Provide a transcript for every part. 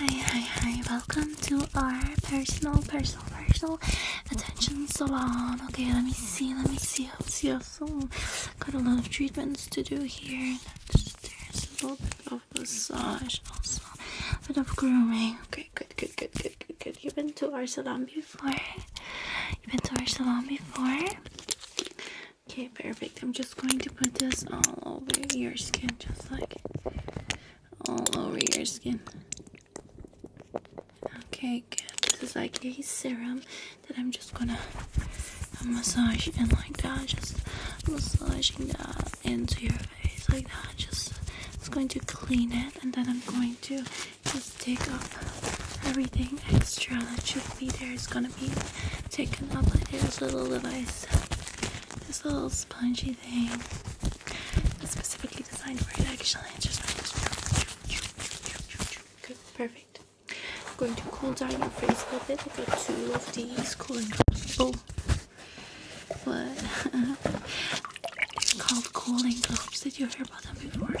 Hi, hi, hi, welcome to our personal, personal, personal attention salon. Okay, let me see, let me see, let me see how Got a lot of treatments to do here. There's a little bit of massage, also a bit of grooming. Okay, good, good, good, good, good, good. You've been to our salon before. You've been to our salon before. Okay, perfect. I'm just going to put this all over your skin, just like all over your skin. Okay, good. This is like a serum that I'm just gonna massage in like that, just massaging that into your face like that. Just it's going to clean it, and then I'm going to just take off everything extra that should be there. It's gonna be taken off by this little device this little spongy thing. It's specifically designed for it actually. It's just like this. perfect. I'm going to cool down your face a little bit. I got two of these cooling drops. Oh, what? it's called cooling globes. Did you hear about them before?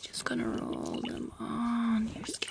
just gonna roll them on your skin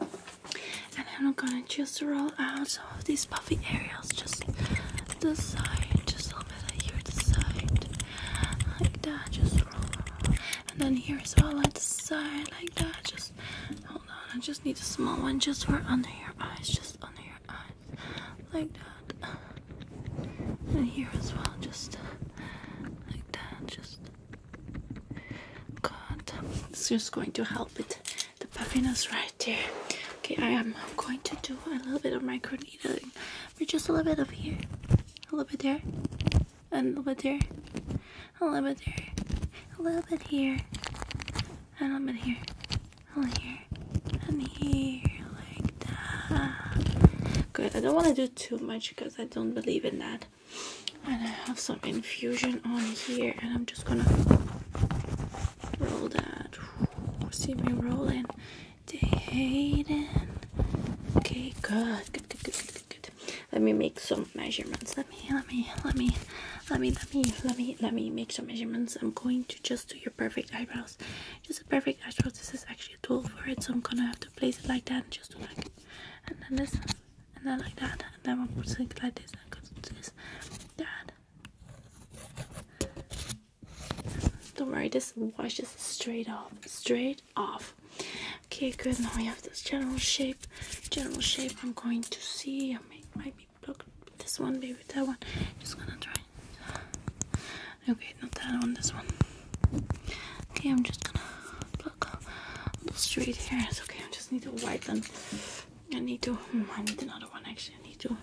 And I'm gonna just roll out some of these puffy areas, just the side, just a little bit like here, the side, like that, just roll. And then here as well, the side, like that, just hold on. I just need a small one just for under your eyes, just under your eyes, like that. And here as well, just like that, just. God, it's just going to help it the puffiness right there. Okay, I am going to do a little bit of micro needling, but just a little bit of here, a little bit there, and a little bit there, a little bit there, a little bit here, and a little bit here, a little here, and here, like that. Good. I don't want to do too much because I don't believe in that. And I have some infusion on here, and I'm just gonna roll that. See me rolling. They hate Okay, good. Good, good, good, good, Let me make some measurements. Let me, let me, let me, let me, let me, let me, let me make some measurements. I'm going to just do your perfect eyebrows. Just a perfect eyebrows. This is actually a tool for it, so I'm gonna have to place it like that and just do like. And then this and then like that, and then one puts it like this, Because goes like this, that. Don't worry, this washes straight off, straight off. Okay, good. Now we have this general shape. General shape. I'm going to see. I might be blocked this one, maybe that one. Just gonna try. Okay, not that one. This one. Okay, I'm just gonna look on here. It's okay. I just need to wipe them. I need to. Hmm, I need another one. Actually, I need to.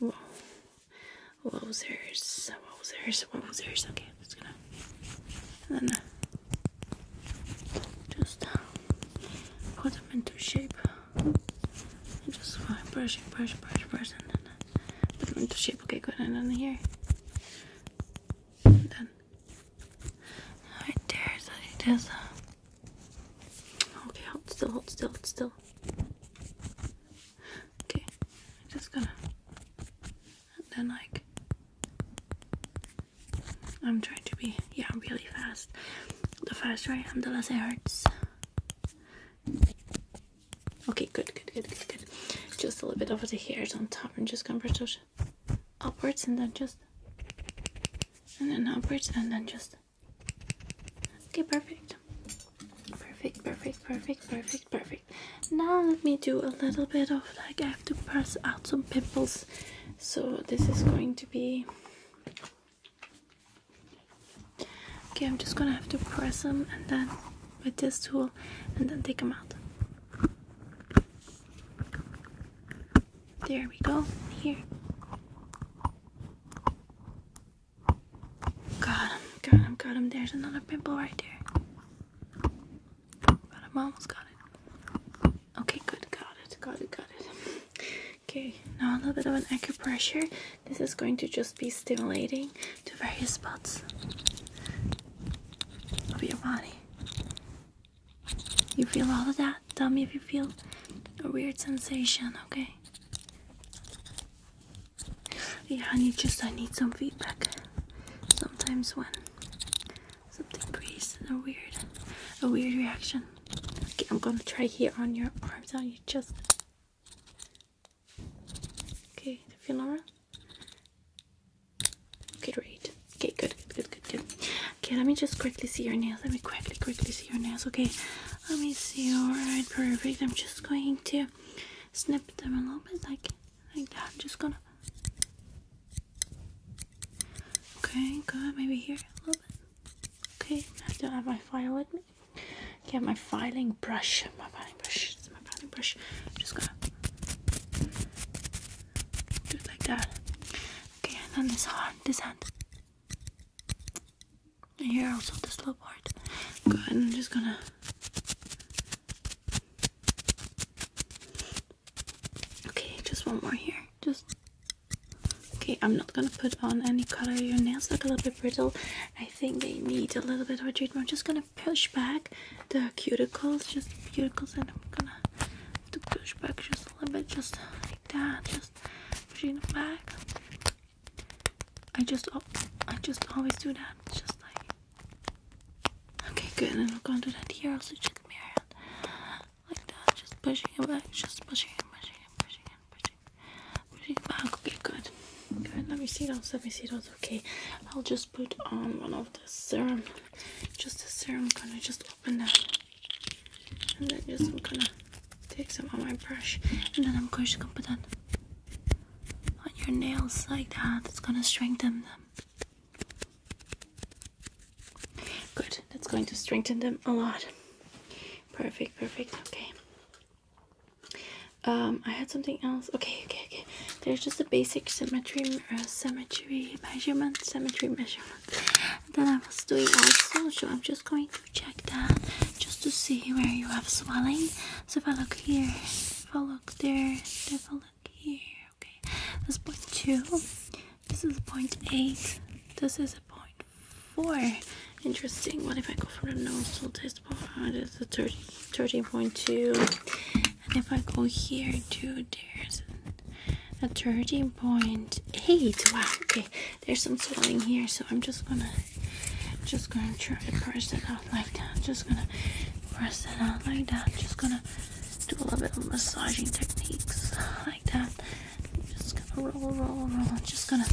Whoa. Wowzers. Wowzers. Wowzers. Okay, I'm just gonna. And then uh, just uh, put them into shape. just brush, brush, brush, brush, and then uh, put them into shape. Okay, good. And then here. And Right there, so it is. Okay, hold still, hold still, hold still. Okay, I'm just gonna. then, like. I'm trying to be, yeah, really fast. The faster I am, the less it hurts. Okay, good, good, good, good, good. Just a little bit over the hairs on top and just gonna brush those upwards and then just and then upwards and then just okay perfect perfect perfect perfect perfect perfect now let me do a little bit of like i have to press out some pimples so this is going to be okay i'm just gonna have to press them and then with this tool and then take them out there we go. Here. Got him, got him, got him. There's another pimple right there. Got him, almost got it. Okay, good, got it, got it, got it. Okay, now a little bit of an acupressure. This is going to just be stimulating to various spots of your body. You feel all of that? Tell me if you feel a weird sensation, okay? Yeah, I need just I need some feedback. Sometimes when something breathes a weird a weird reaction. Okay, I'm gonna try here on your arms, on your chest. Okay, do you feel alright? Great. Okay, good, good, good, good. Okay, let me just quickly see your nails. Let me quickly, quickly see your nails. Okay, let me see. All right, perfect. I'm just going to snip them a little bit, like like that. I'm just gonna. Okay, good. Maybe here a little bit. Okay, I don't have my file with me. Okay, my filing brush. My brush. This is my blending brush. I'm just gonna do it like that. Okay, and then this hand, this hand. And here also the slow part. Go ahead, I'm just gonna Okay, just one more here. Just Okay, I'm not gonna put on any color. Your nails look a little bit brittle. I think they need a little bit of a treatment. I'm just gonna push back the cuticles, just the cuticles, and I'm gonna push back just a little bit, just like that, just pushing back. I just, I just always do that, just like. Okay, good. And I'm gonna do that here. Also, check me out like that, just pushing it back, just pushing pushing pushing pushing, pushing back. Okay, good. Good. Let me see those. Let me see those okay. I'll just put on one of the serum, just the serum. I'm gonna just open that, and then just I'm gonna take some on my brush, and then I'm going to put that on your nails like that. It's gonna strengthen them. Good. That's going to strengthen them a lot. Perfect. Perfect. Okay. Um, I had something else. Okay, okay, okay. There's just a basic symmetry, uh, symmetry measurement, symmetry measurement Then I was doing also. So I'm just going to check that just to see where you have swelling. So if I look here, if I look there, if I look here, okay. This is point two. This is point eight. This is a point four. Interesting. What if I go for the nasal test? this It's a 30, 13.2. And if I go here to there's a 13.8. Wow, okay. There's some swelling here, so I'm just gonna just gonna try to press it out like that. Just gonna press it out like that. Just gonna do a little bit of massaging techniques like that. just gonna roll, roll, roll. just gonna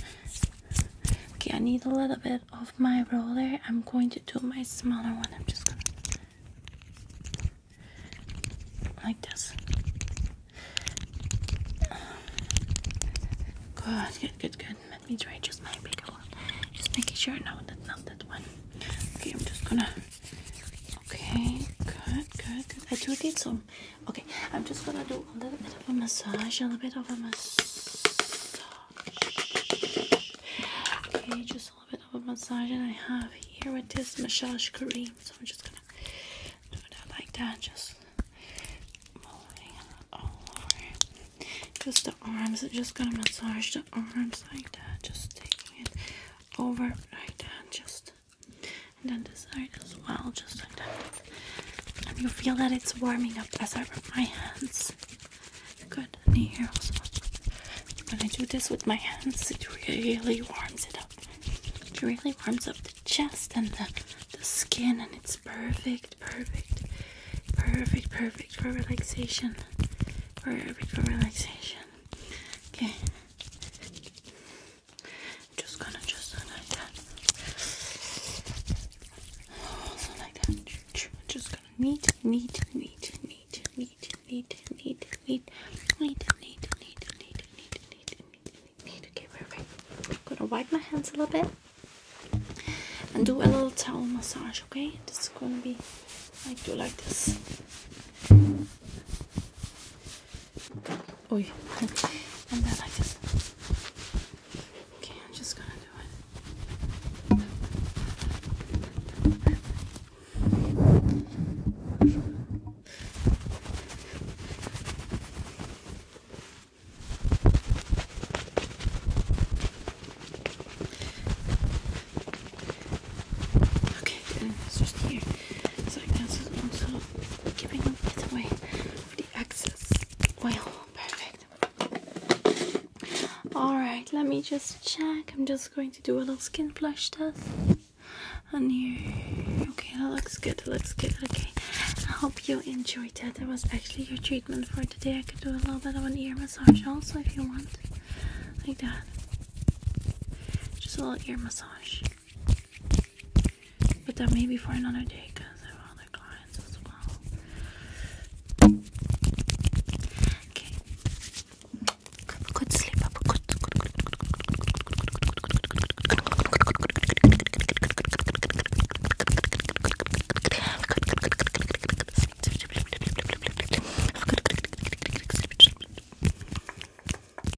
Okay, I need a little bit of my roller. I'm going to do my smaller one. I'm just gonna like this. Good, good, good, good. Let me try just my bigger one. Just making sure. No, that's not that one. Okay, I'm just gonna. Okay, good, good, good. I do need some. Okay, I'm just gonna do a little bit of a massage, and a little bit of a massage. Okay, just a little bit of a massage, and I have here with this massage cream. So I'm just gonna do that like that, just moving all over. Just the arms. I'm just gonna massage the arms like that. Just taking it over like that, just and then this side as well, just like that. And you feel that it's warming up as I rub my hands. Good. here also. When I do this with my hands, it really warms it up. It really warms up the chest and the, the skin, and it's perfect, perfect, perfect, perfect for relaxation. Perfect for relaxation. Okay. I'm just gonna just like that. Also like that. just gonna knead, knead, knead, knead, knead, knead, knead, knead, knead, knead, knead, knead, knead, knead, Okay, perfect. I'm gonna wipe my hands a little bit and do a little towel massage, okay? This is gonna be like do like this. Oy. and then I just okay, I'm just gonna do it. Okay, good. It's just here. So this is also giving a away of the excess oil. Perfect. Alright, let me just check. I'm just going to do a little skin flush test on here. Okay, that looks good. That looks good. Okay. I hope you enjoyed that. That was actually your treatment for today. I could do a little bit of an ear massage also if you want. Like that. Just a little ear massage. But that may be for another day because I have other clients as well. Okay. Good, sleep